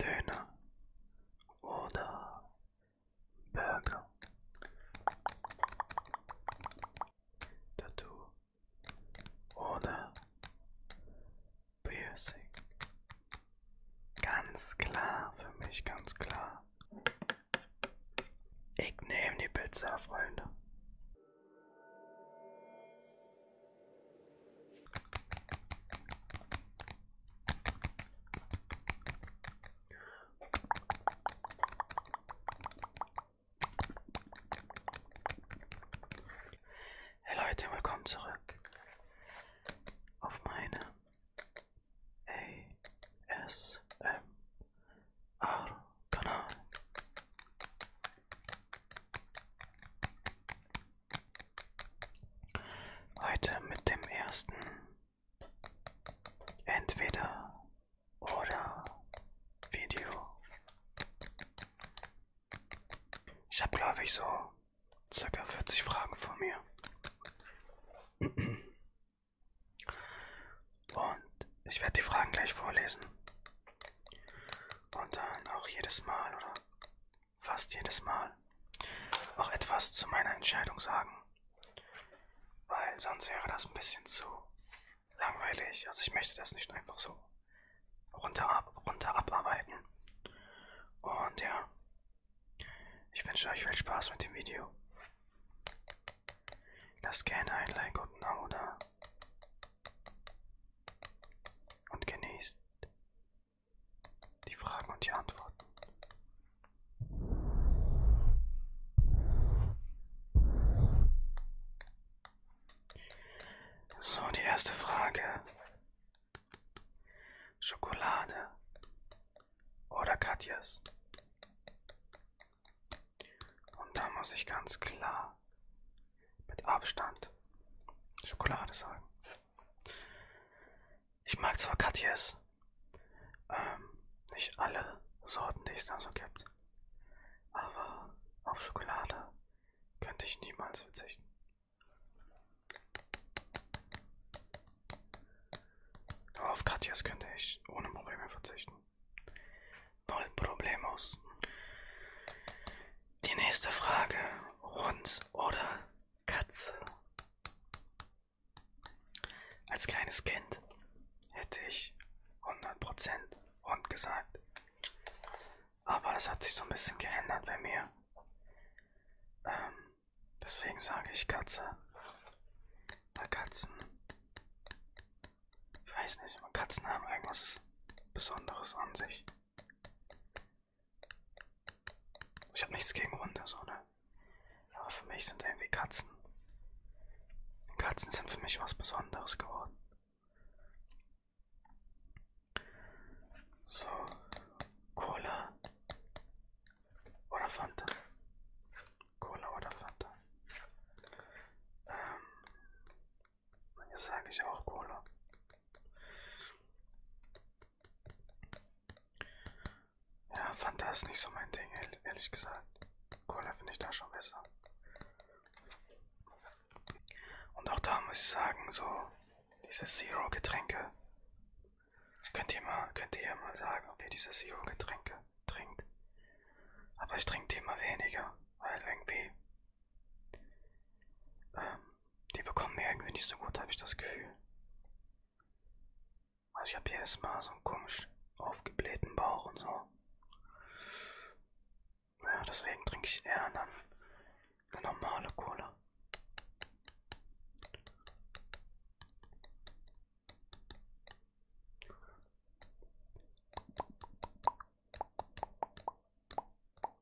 Döner oder Burger. Tattoo oder Piercing. Ganz klar, für mich ganz klar. Ich nehme die Pizza, Freunde. Hey Leute, willkommen zurück auf meine ASMR-Kanal. Heute mit dem ersten Entweder oder Video. Ich habe, glaube ich, so circa 40 Fragen vor mir. Und ich werde die Fragen gleich vorlesen. Und dann auch jedes Mal oder fast jedes Mal, auch etwas zu meiner Entscheidung sagen. Weil sonst wäre das ein bisschen zu langweilig. Also ich möchte das nicht einfach so runter, ab, runter abarbeiten. Und ja, ich wünsche euch viel Spaß mit dem Video. Lasst gerne ein Like und ein Abo da. Und genießt die Fragen und die Antworten. So, die erste Frage. Schokolade oder Katjes? Und da muss ich ganz klar mit Abstand Schokolade sagen. Ich mag zwar Katjes, ähm, nicht alle Sorten, die es da so gibt, aber auf Schokolade könnte ich niemals verzichten. Aber auf Katjes könnte ich ohne Probleme verzichten. Null Problemos. Die nächste Frage. Hund oder Katze? Als kleines Kind hätte ich 100% Hund gesagt. Aber das hat sich so ein bisschen geändert bei mir. Ähm, deswegen sage ich Katze. Weil Katzen. Ich weiß nicht, aber Katzen haben irgendwas Besonderes an sich. Ich habe nichts gegen Hunde, so, ne? Aber für mich sind irgendwie Katzen. Katzen sind für mich was Besonderes geworden. So, Cola oder Fanta. Cola oder Fanta. Ähm, Jetzt sage ich auch Cola. Ja, Fanta ist nicht so mein Ding, ehrlich gesagt. Cola finde ich da schon besser. Und auch da muss ich sagen, so diese Zero-Getränke. Könnt ihr, mal, könnt ihr mal sagen, ob ihr diese Zero-Getränke trinkt. Aber ich trinke die immer weniger, weil irgendwie ähm, die bekommen mir irgendwie nicht so gut, habe ich das Gefühl. Also ich habe jedes Mal so einen komisch aufgeblähten Bauch und so. Ja, deswegen trinke ich eher dann eine normale Cola.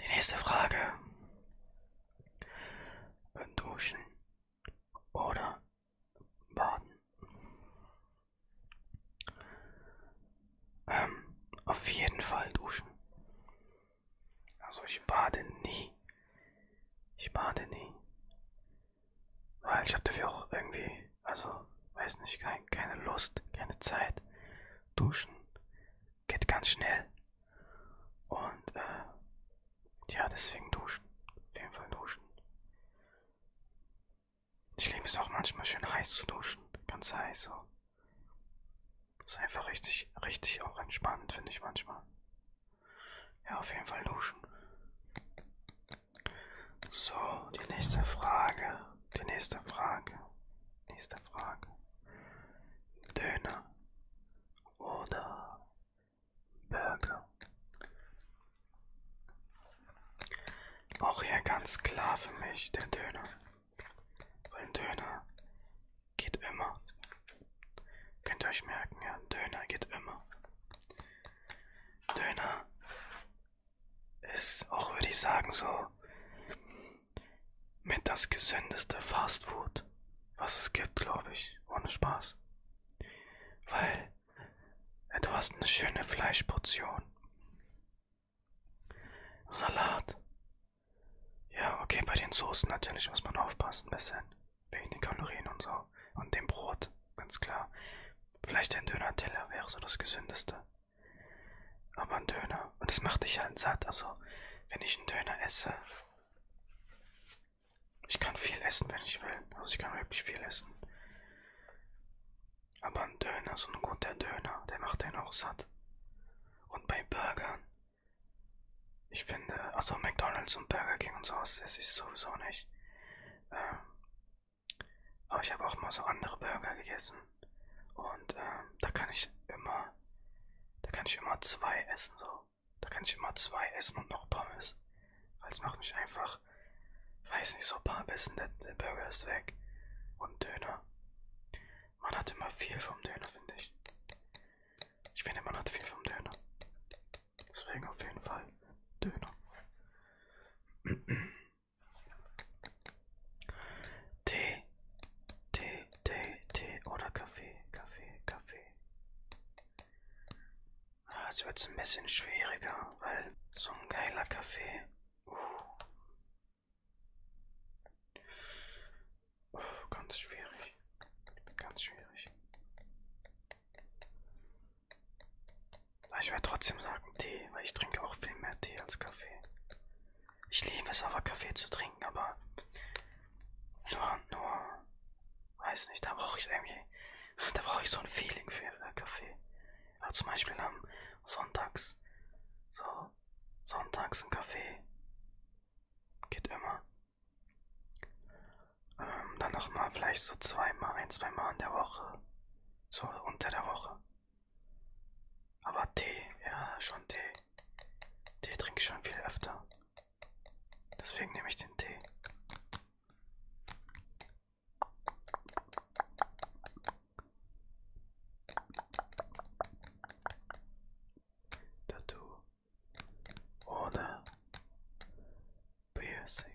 Die nächste Frage. Duschen oder baden? Ähm, auf jeden Fall duschen. Also ich bade nie. Ich bade nie. Weil ich habe dafür auch irgendwie, also weiß nicht, kein, keine Lust, keine Zeit. Duschen geht ganz schnell. Und äh, ja, deswegen duschen. Auf jeden Fall duschen. Ich liebe es auch manchmal schön heiß zu duschen. Ganz heiß so. Ist einfach richtig, richtig auch entspannend, finde ich manchmal. Ja, auf jeden Fall duschen. So, die nächste Frage. Die nächste Frage. Nächste Frage. Döner oder Burger? Auch hier ganz klar für mich der Döner. Weil ein Döner geht immer. Könnt ihr euch merken, ja, Döner geht immer. Döner ist auch, würde ich sagen, so mit das gesündeste Fastfood, was es gibt, glaube ich, ohne Spaß. Weil du hast eine schöne Fleischportion. Salat. Ja, okay, bei den Soßen natürlich muss man aufpassen, ein bisschen. Wegen den Kalorien und so. Und dem Brot, ganz klar. Vielleicht ein Döner-Teller wäre so das Gesündeste. Aber ein Döner. Und das macht dich halt satt. Also, wenn ich einen Döner esse, ich kann viel essen, wenn ich will. Also, ich kann wirklich viel essen. Aber ein Döner, so ein guter Döner, der macht einen auch satt. Und bei Burgern, ich finde, also McDonalds und Burger King und sowas esse ich sowieso nicht. Ähm, aber ich habe auch mal so andere Burger gegessen. Und ähm, da kann ich immer, da kann ich immer zwei essen, so. Da kann ich immer zwei essen und noch Pommes. Weil es macht mich einfach, weiß nicht, so ein paar Bissen, der, der Burger ist weg. Und Döner. Man hat immer viel vom Döner, finde ich. Ich finde, man hat viel vom Döner. Deswegen auf jeden Fall Döner. Tee, Tee, Tee, Tee oder Kaffee, Kaffee, Kaffee. Ah, jetzt wird es ein bisschen schwieriger, weil so ein geiler Kaffee. Uh. Uh, ganz schwierig. Ganz schwierig. Ah, ich werde trotzdem sagen Tee, weil ich trinke auch viel mehr Tee als Kaffee. Ich liebe es aber, Kaffee zu trinken, aber nur, nur, weiß nicht, da brauche ich irgendwie, da brauche ich so ein Feeling für, für äh, Kaffee. Auch also zum Beispiel am Sonntags, so, Sonntags ein Kaffee geht immer. Ähm, dann nochmal vielleicht so zweimal, ein, zweimal in der Woche, so unter der Woche. Aber Tee, ja, schon Tee. Tee trinke ich schon viel öfter. Deswegen nehme ich den Tee. Tattoo oder Piercing.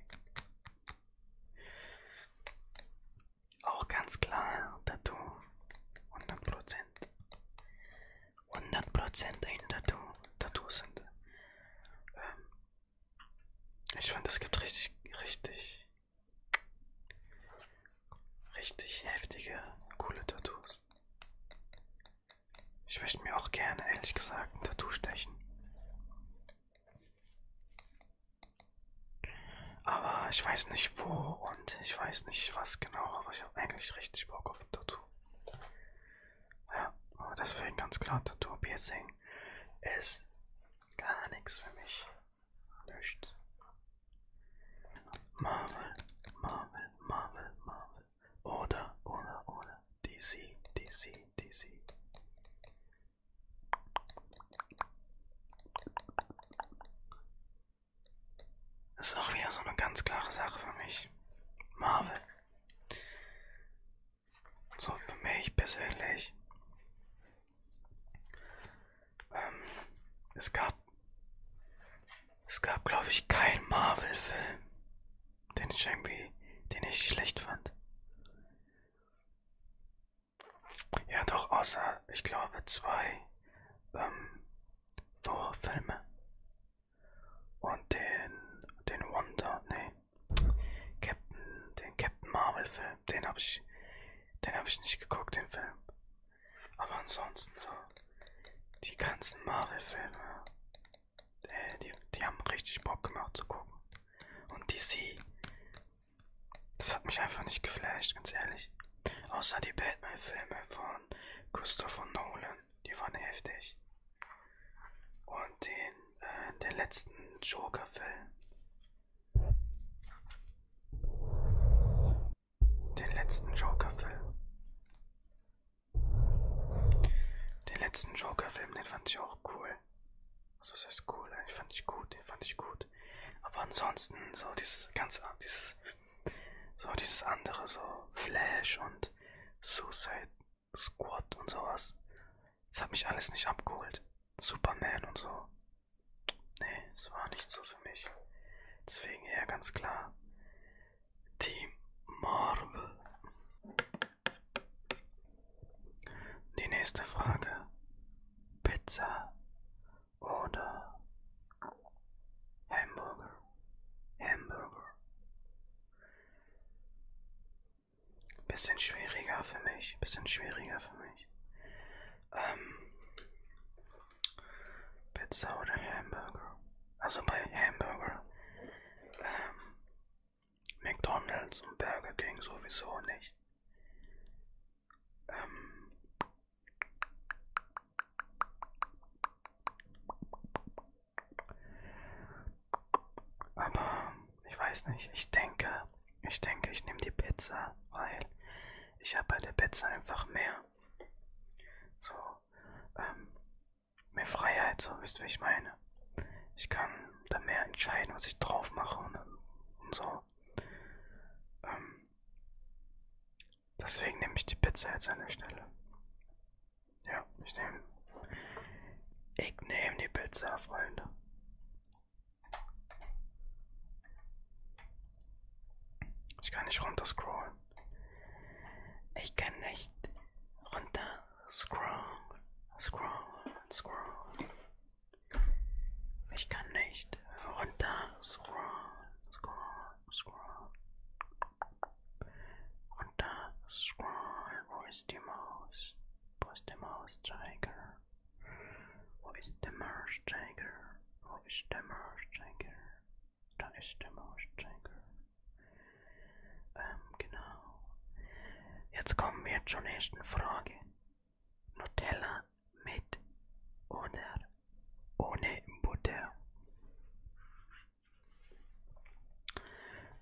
Auch ganz klar, Tattoo. 100%. 100% ein Tattoo. Tattoos sind. Ähm, ich finde, es gibt richtig, richtig, richtig heftige, coole Tattoos. Ich möchte mir auch gerne, ehrlich gesagt, ein Tattoo stechen. Aber ich weiß nicht wo und ich weiß nicht was genau, aber ich habe eigentlich richtig Bock auf ein Tattoo. Ja, aber deswegen ganz klar, Tattoo Piercing ist gar nichts für mich. Nichts. Marvel, Marvel, Marvel, Marvel. Oder, oder, oder. DC, DC, DC. Das ist auch wieder so eine ganz klare Sache für mich. Marvel. So für mich persönlich. Ähm, es gab, es gab, glaube ich, keinen Marvel-Film, den ich irgendwie, den ich schlecht fand. Ja, doch außer, ich glaube, zwei. Ähm, Horrorfilme. Und den, den Wonder, nee, Captain, den Captain Marvel Film, den habe ich, den habe ich nicht geguckt, den Film. Aber ansonsten so, die ganzen Marvel Filme, äh, die, die haben richtig Bock gemacht zu gucken. Und DC, das hat mich einfach nicht geflasht, ganz ehrlich. Außer die Batman-Filme von Christopher Nolan. Die waren heftig. Und den, äh, den letzten Joker-Film. Den letzten Joker-Film. Den letzten Joker-Film, den fand ich auch cool. Also das heißt cool, den fand ich gut, den fand ich gut. Aber ansonsten, so dieses ganz, dieses so dieses andere, so Flash und Suicide Squad und sowas. Das hat mich alles nicht abgeholt. Superman und so. Nee, es war nicht so für mich. Deswegen eher ganz klar. Team Marvel. Die nächste Frage. Pizza oder Hamburger, Hamburger. Bisschen schwieriger für mich, bisschen schwieriger für mich. Ähm, Pizza oder Hamburger. Also bei Hamburger. Ähm, McDonald's und Burger King sowieso nicht. Ähm, aber ich weiß nicht, ich denke, ich denke, ich nehme die Pizza, weil ich habe bei der Pizza einfach mehr. So, ähm, mehr Freiheit, so wisst ihr, wie ich meine. Ich kann da mehr entscheiden, was ich drauf mache und, und so. Ähm, Deswegen nehme ich die Pizza jetzt an der Stelle. Ja, ich nehme. Ich nehme die Pizza, Freunde. Ich kann nicht runter scrollen. Ich kann nicht runter scrollen. Scrollen, scrollen. Ich kann nicht runter, scroll, scroll, scroll. Runter, scroll, wo ist die Maus? Wo ist der Mauszeiger? Wo ist der Mauszeiger? Wo ist der Mauszeiger? Da ist der Mauszeiger. Ähm, genau. Jetzt kommen wir zur nächsten Frage. Nutella mit oder ohne Butter.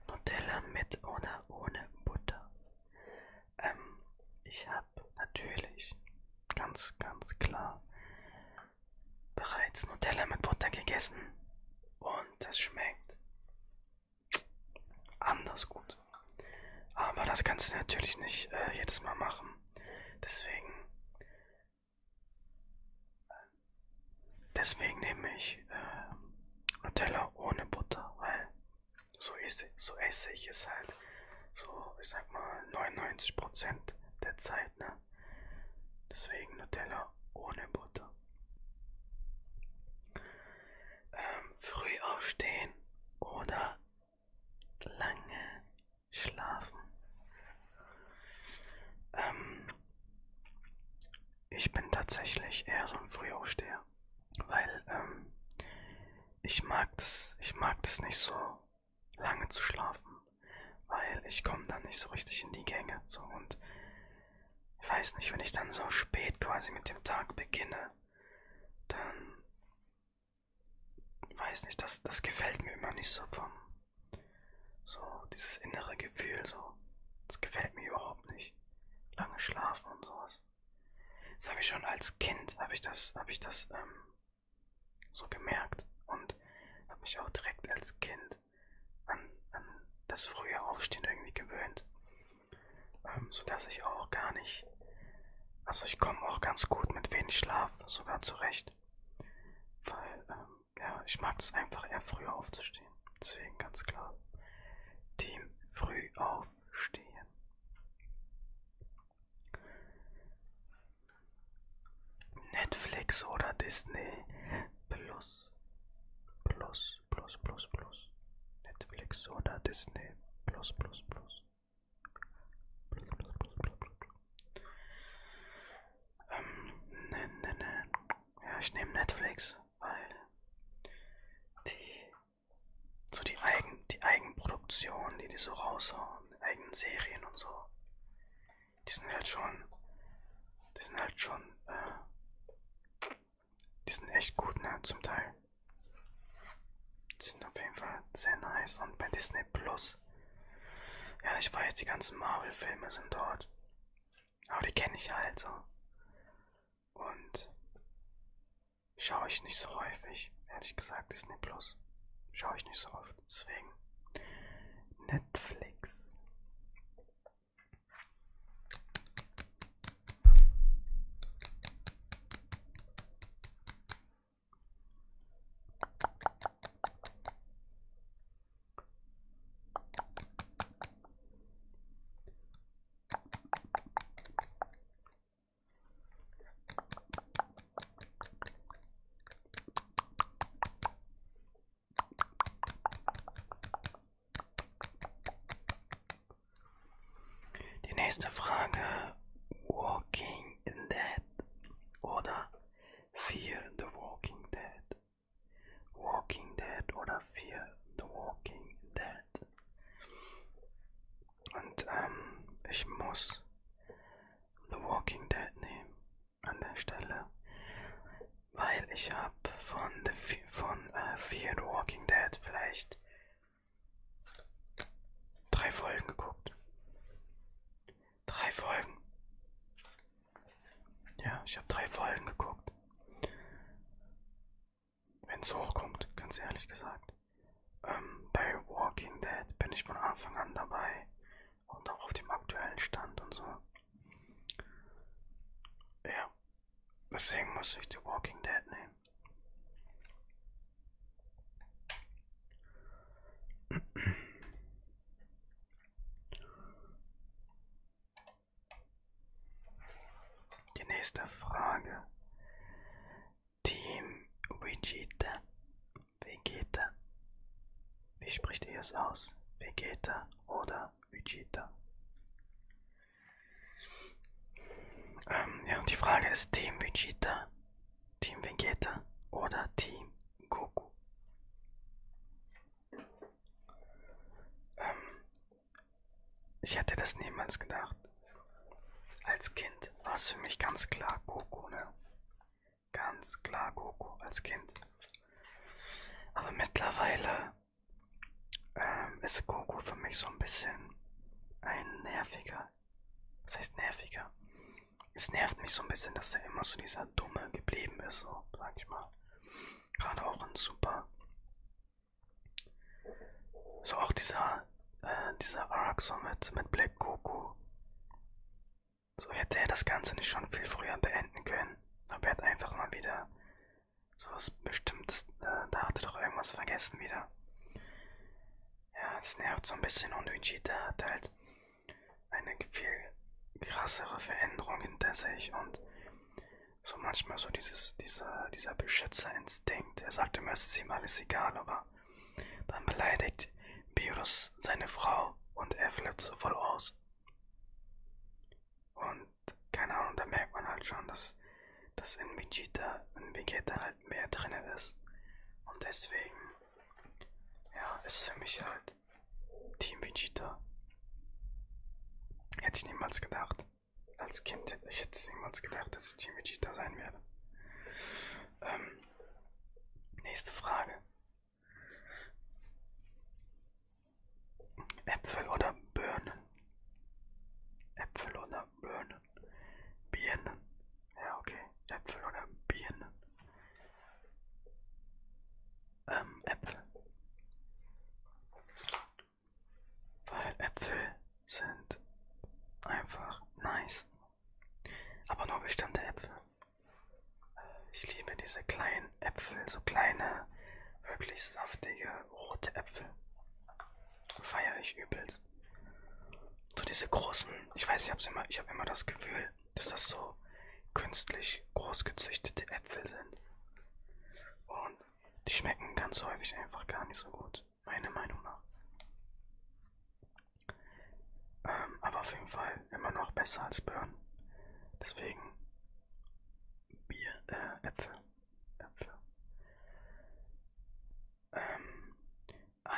Nutella mit oder ohne Butter. Ähm, ich habe natürlich ganz, ganz klar bereits Nutella mit Butter gegessen und es schmeckt anders gut. Aber das kannst du natürlich nicht äh, jedes Mal machen. Deswegen. Deswegen nehme ich äh, Nutella ohne Butter, weil so esse, so esse ich es halt so, ich sag mal 99% der Zeit, ne? Deswegen Nutella ohne Butter. Ähm, früh aufstehen oder lange schlafen. Ähm, ich bin tatsächlich eher so ein Frühaufsteher, weil ähm, ich mag das, ich mag das nicht so lange zu schlafen, weil ich komme dann nicht so richtig in die Gänge. So und ich weiß nicht, wenn ich dann so spät quasi mit dem Tag beginne, dann weiß nicht, das, das gefällt mir immer nicht so vom, so dieses innere Gefühl, so, das gefällt mir überhaupt nicht. Lange schlafen und sowas. Das habe ich schon als Kind, habe ich das, habe ich das, ähm, so gemerkt und habe mich auch direkt als Kind an, an das frühe Aufstehen irgendwie gewöhnt, ähm, sodass ich auch gar nicht ich. Also ich komme auch ganz gut mit wenig Schlaf sogar zurecht. Weil, ähm, ja, ich mag es einfach eher früher aufzustehen. Deswegen ganz klar. Team früh aufstehen. Netflix oder Disney Plus. Plus, plus, plus, plus. Netflix oder Disney Plus, plus, plus. Ähm, ne, ne, ne. Ja, ich nehme Netflix, weil die so die Eigen, die Eigenproduktion, die die so raushauen, die eigenen Serien und so, die sind halt schon, die sind halt schon, äh, die sind echt gut, ne, zum Teil. Sind auf jeden Fall sehr nice. Und bei Disney Plus. Ja, ich weiß, die ganzen Marvel-Filme sind dort. Aber die kenne ich halt so. Und schaue ich nicht so häufig. Ehrlich gesagt, Disney Plus. Schaue ich nicht so oft. Deswegen. Netflix. Die nächste Frage. Walking Dead. oder Fear the Walking Dead. Walking Dead oder Fear the Walking Dead. Und ähm, ich muss The Walking Dead nehmen an der Stelle, weil ich habe von, the, von äh, Fear the Walking Dead vielleicht Drei Folgen geguckt. Drei Folgen. Ja, ich habe drei Folgen geguckt. Wenn es hochkommt, ganz ehrlich gesagt. Ähm, bei Walking Dead bin ich von Anfang an dabei und auch auf dem aktuellen Stand und so. Ja, deswegen muss ich The Walking Dead nehmen. Die nächste Frage. Team Vegeta. Vegeta. Wie spricht ihr es aus? Vegeta oder Vegeta? Ähm, ja, die Frage ist Team Vegeta. Team Vegeta oder Team Goku. Ähm, ich hätte das niemals gedacht. Als Kind war es für mich ganz klar Goku, ne? Ganz klar Goku als Kind. Aber mittlerweile ähm, ist Goku für mich so ein bisschen ein nerviger das heißt nerviger. Es nervt mich so ein bisschen, dass er immer so dieser Dumme geblieben ist, so, sag ich mal. Gerade auch in Super. So auch dieser, äh, dieser Araxo mit, mit Black Goku. So hätte er das Ganze nicht schon viel früher beenden können. Aber er hat einfach mal wieder so was Bestimmtes, äh, da hatte doch irgendwas vergessen wieder. Ja, das nervt so ein bisschen und Vegeta hat halt eine viel krassere Veränderung hinter sich und so manchmal so dieses, dieser, dieser Beschützerinstinkt. Er sagt immer, es ist ihm alles egal, aber dann beleidigt Beerus seine Frau und er flippt so voll aus. Und keine Ahnung, da merkt man halt schon, dass, dass in Vegeta, in Vegeta halt halt mehr drin ist. Und deswegen, ja, ist für mich halt Team Vegeta. Hätte ich niemals gedacht. Als Kind, ich hätte es niemals gedacht, dass ich Team Vegeta sein werde. Ähm, nächste Frage. Äpfel oder Birnen? Äpfel oder Birnen? Birnen. Birnen. Ja, okay. Äpfel oder Birnen. Ähm, Äpfel. Weil Äpfel sind einfach nice. Aber nur bestimmte Äpfel. Ich liebe diese kleinen Äpfel, so kleine, wirklich saftige rote Äpfel. Feiere ich übelst. So diese großen, ich weiß, ich habe immer, ich hab immer das Gefühl, dass das so künstlich groß gezüchtete Äpfel sind. Und die schmecken ganz häufig einfach gar nicht so gut, meiner Meinung nach. Ähm, aber auf jeden Fall immer noch besser als Birnen. Deswegen Bier, äh, Äpfel. Äpfel ähm,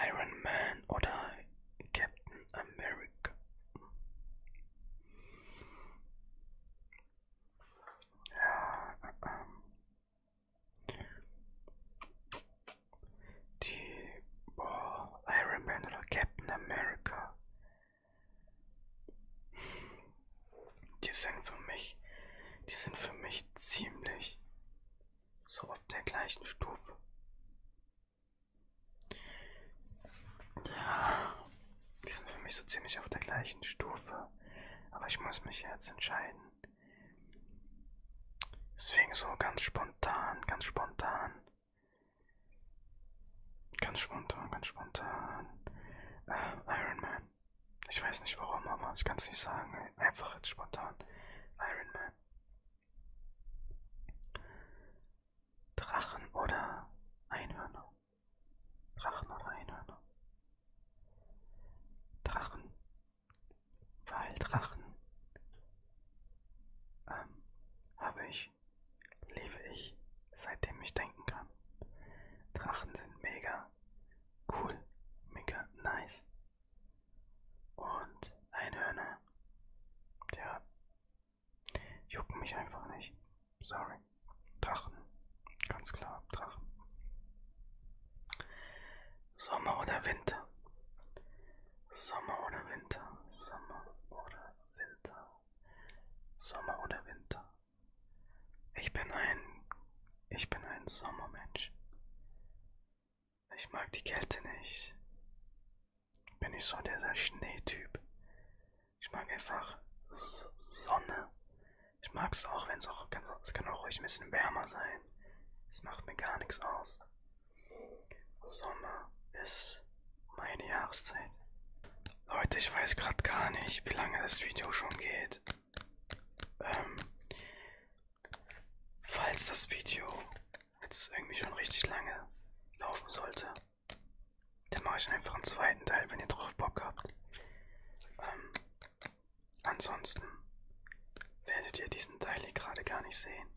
Iron Man oder Captain America. Ja, ähm, die boah, Iron Man oder Captain America. Die sind für mich, die sind für mich ziemlich so auf der gleichen Stufe. Ja, die sind für mich so ziemlich auf der gleichen Stufe. Aber ich muss mich jetzt entscheiden. Deswegen so ganz spontan, ganz spontan. Ganz spontan, ganz spontan. Äh, Iron Man. Ich weiß nicht warum, aber ich kann es nicht sagen nein, einfach jetzt spontan. Iron Man. Drachen oder Einhörner? Drachen oder Einhörner? Drachen. Weil Drachen ähm, habe ich, lebe ich, seitdem ich denken kann. Drachen sind mega cool, mega nice, und Einhörner, ja, jucken mich einfach nicht. Sorry. Drachen, ganz klar, Drachen. Sommer oder Winter? Sommer oder Winter? Sommer oder Winter? Sommer oder Winter? Ich bin ein, ich bin ein Sommermensch. Ich mag die Kälte nicht. Bin ich so dieser Schneetyp. Ich mag einfach Sonne. Ich mag es auch, wenn es auch, kann, es kann auch ruhig ein bisschen wärmer sein. Es macht mir gar nichts aus. Sommer ist meine Jahreszeit. Leute, ich weiß gerade gar nicht, wie lange das Video schon geht. Ähm, Falls das Video jetzt irgendwie schon richtig lange laufen sollte, dann mache ich einfach einen zweiten Teil, wenn ihr drauf Bock habt. Ähm, ansonsten werdet ihr diesen Teil hier gerade gar nicht sehen.